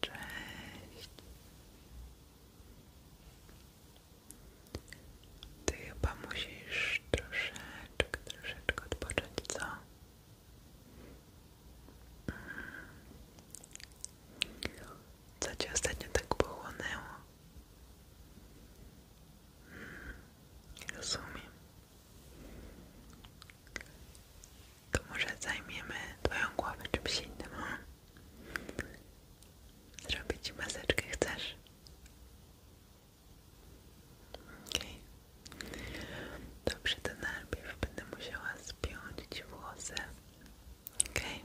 Cześć. Ty chyba musisz troszeczkę, troszeczkę odpocząć, co? Co Cię ostatnio tak pochłonęło? Hmm, rozumiem to może zajmiemy twoją głowę czymś innym. Hmm? zrobić ci maseczkę, chcesz? Okej. Dobrze, to najpierw będę musiała spiąć włosy. Okej.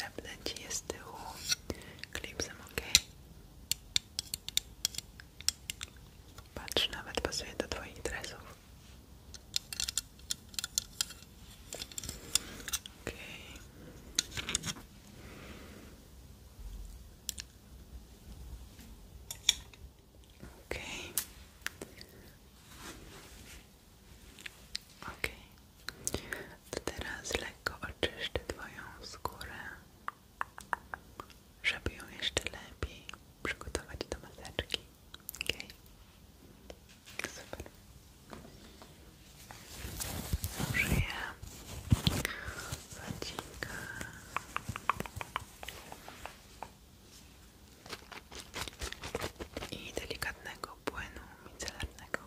Zapnę Ci je z tyłu klipsem, ok? Patrz, nawet pasuje do Twoich dresów. Ok. Ok. Ok. To teraz lekko oczyszczę Twoją skórę, żeby ją jeszcze lepiej przygotować do maseczki. Ok. Super. Użyję zacika i delikatnego płynu micelarnego.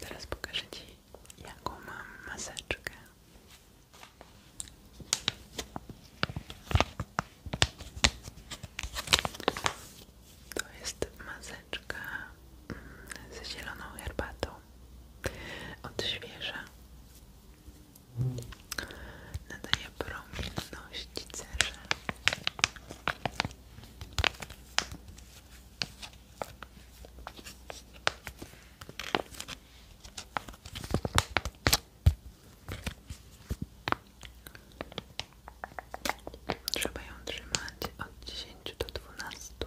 Teraz pokażę Ci, jaką mam maseczkę. To jest maseczka mm, z zieloną herbatą odświeża, nadaje promienności cerze. Trzeba ją trzymać od 10 do dwunastu.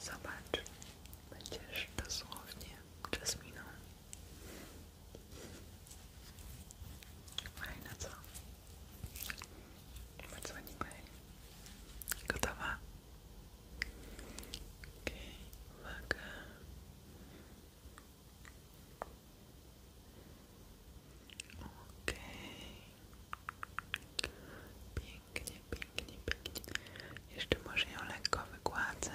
Zobacz, będziesz dosłownie jasminą. Fajne co? Wydzwonimy. Gotowa? Okay. Pięknie, pięknie, pięknie. Jeszcze może ją lekko wygładzę.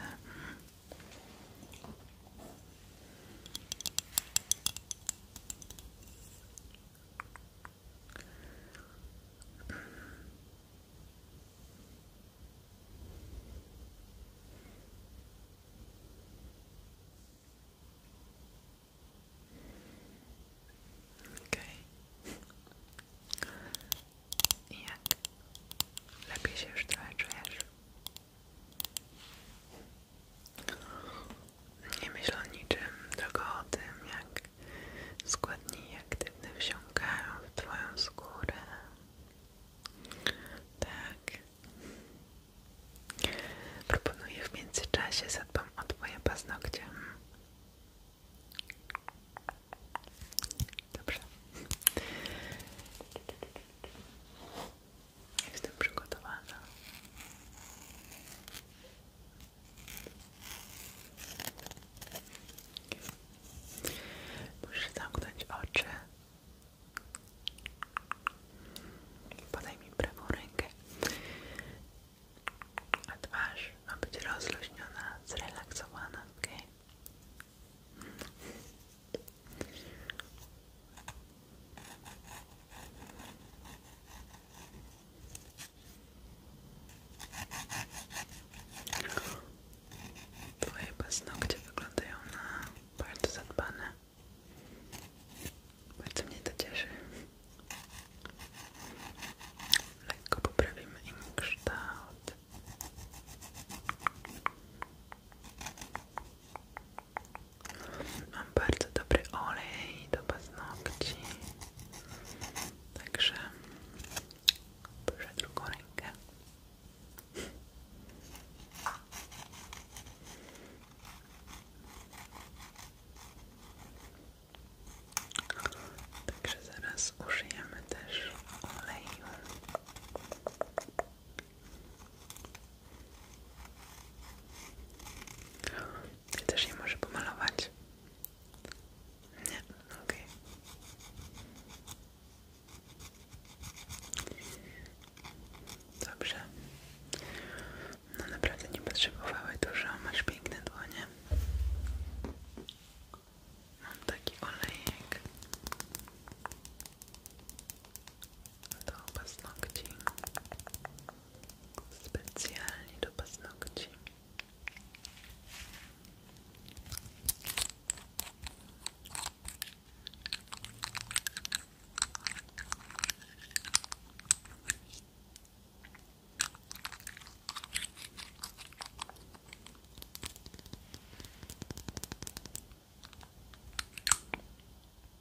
Okej. Okay. Jak? Lepiej się już trochę nie myślę o niczym, tylko o tym, jak składniki aktywne wsiąkają w Twoją skórę. Tak. Proponuję w międzyczasie zadbam o Twoje paznokcie. Dobrze. Jestem przygotowana. Musisz zamknąć oczy. Podaj mi prawą rękę. A twarz ma być rozluźniona, zrelaksowana, ok? Twoje paznokcie wyglądają na bardzo zadbane. Bardzo mnie to się Lekko poprawimy im kształt. Mam bardzo dobry olej do paznokci. Także proszę drugą rękę. Także zaraz użyjemy też oleju. Ty też nie może pomalować? Nie, okej. Dobrze. No naprawdę nie potrzebowały dużo, masz piękne dłonie. Mam taki olejek do paznokci specjalnie do paznokci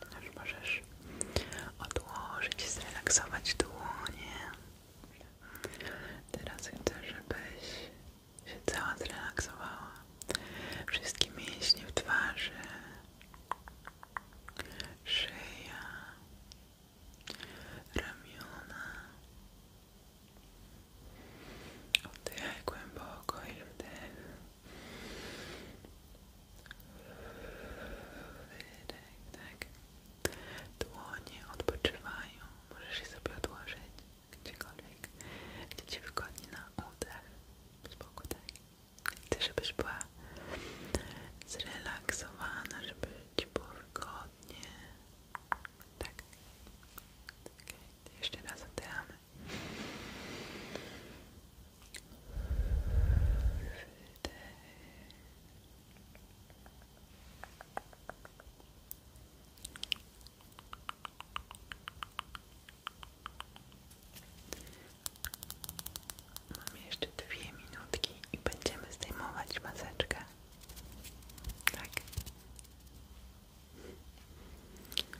to możesz odłożyć, i zrelaksować dłonie. Teraz chcę, żebyś się cała zrelaksowała. Wszystkie mięśnie w twarzy, szyja, ramiona. Oddychaj głęboko i wdech. Wydech, tak, tak. Dłonie odpoczywają. Możesz je sobie odłożyć gdziekolwiek, gdzie Ci wygodnie na oddech. Spoko, tak. Chcę, żebyś była zrelaksowana, żeby Ci było wygodnie. Tak. Okay. Tak. Jeszcze raz oddychamy. Mam jeszcze dwie minutki i będziemy zdejmować maseczkę. Tak.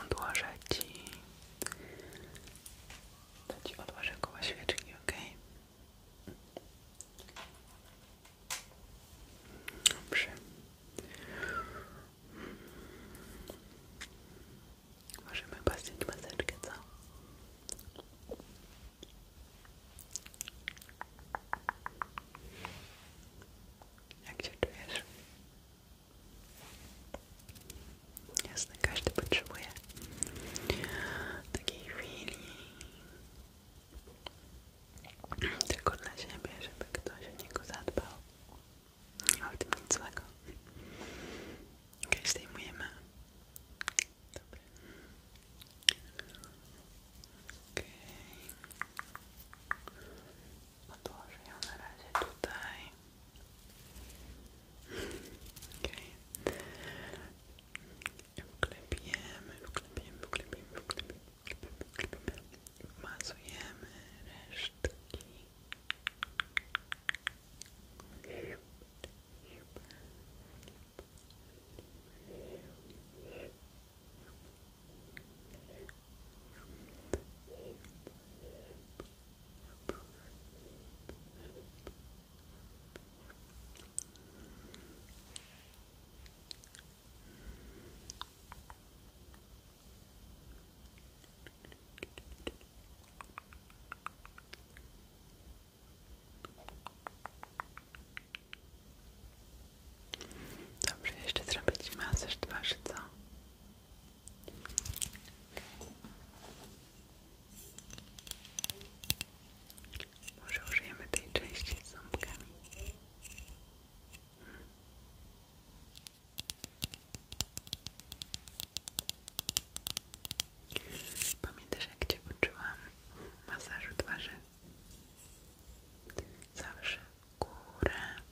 odłożę Ci, to Ci odłożę koło świeczki, ok? Dobrze. Możemy paścić maseczkę, co? Jak się czujesz? Jasne, każdy potrzebuje takiej chwili tylko dla siebie, żeby ktoś o niego zadbał. Ale tym nic złego. Okej, okay, zdejmujemy. Dobra. Okej. Odłożę ją na razie tutaj. Okej. Okay. Wklepiemy, wklepiemy, wklepiemy, wklepiemy, wklepiemy, wklepiemy. Wmazujemy Dobrze, jeszcze zrobić masaż twarzy, co? Może użyjemy tej części z ząbkami. Hmm. Pamiętasz jak Cię masażu twarzy? Zawsze górę,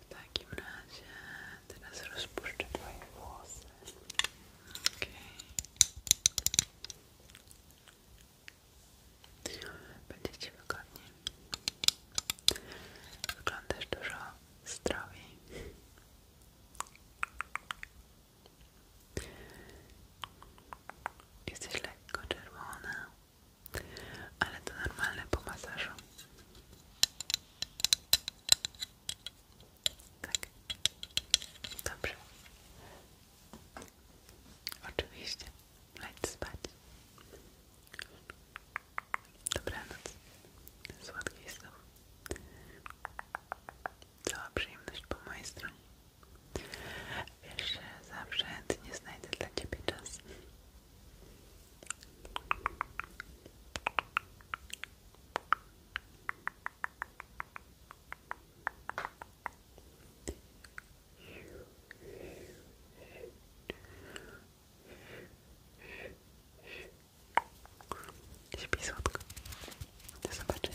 W takim teraz rozpuszczę Twoje włosy. OK. Będzie Ci wygodniej. Wyglądasz dużo zdrowiej. Jesteś lekko czerwona, ale to normalne po masażu. Tak. Dobrze. Oczywiście. Leć spać. Dobranoc. Słodkich snów cała przyjemność po mojej stronie. Wiesz, że zawsze chętnie znajdę dla Ciebie czas. Śpi słodko. Do zobaczenia.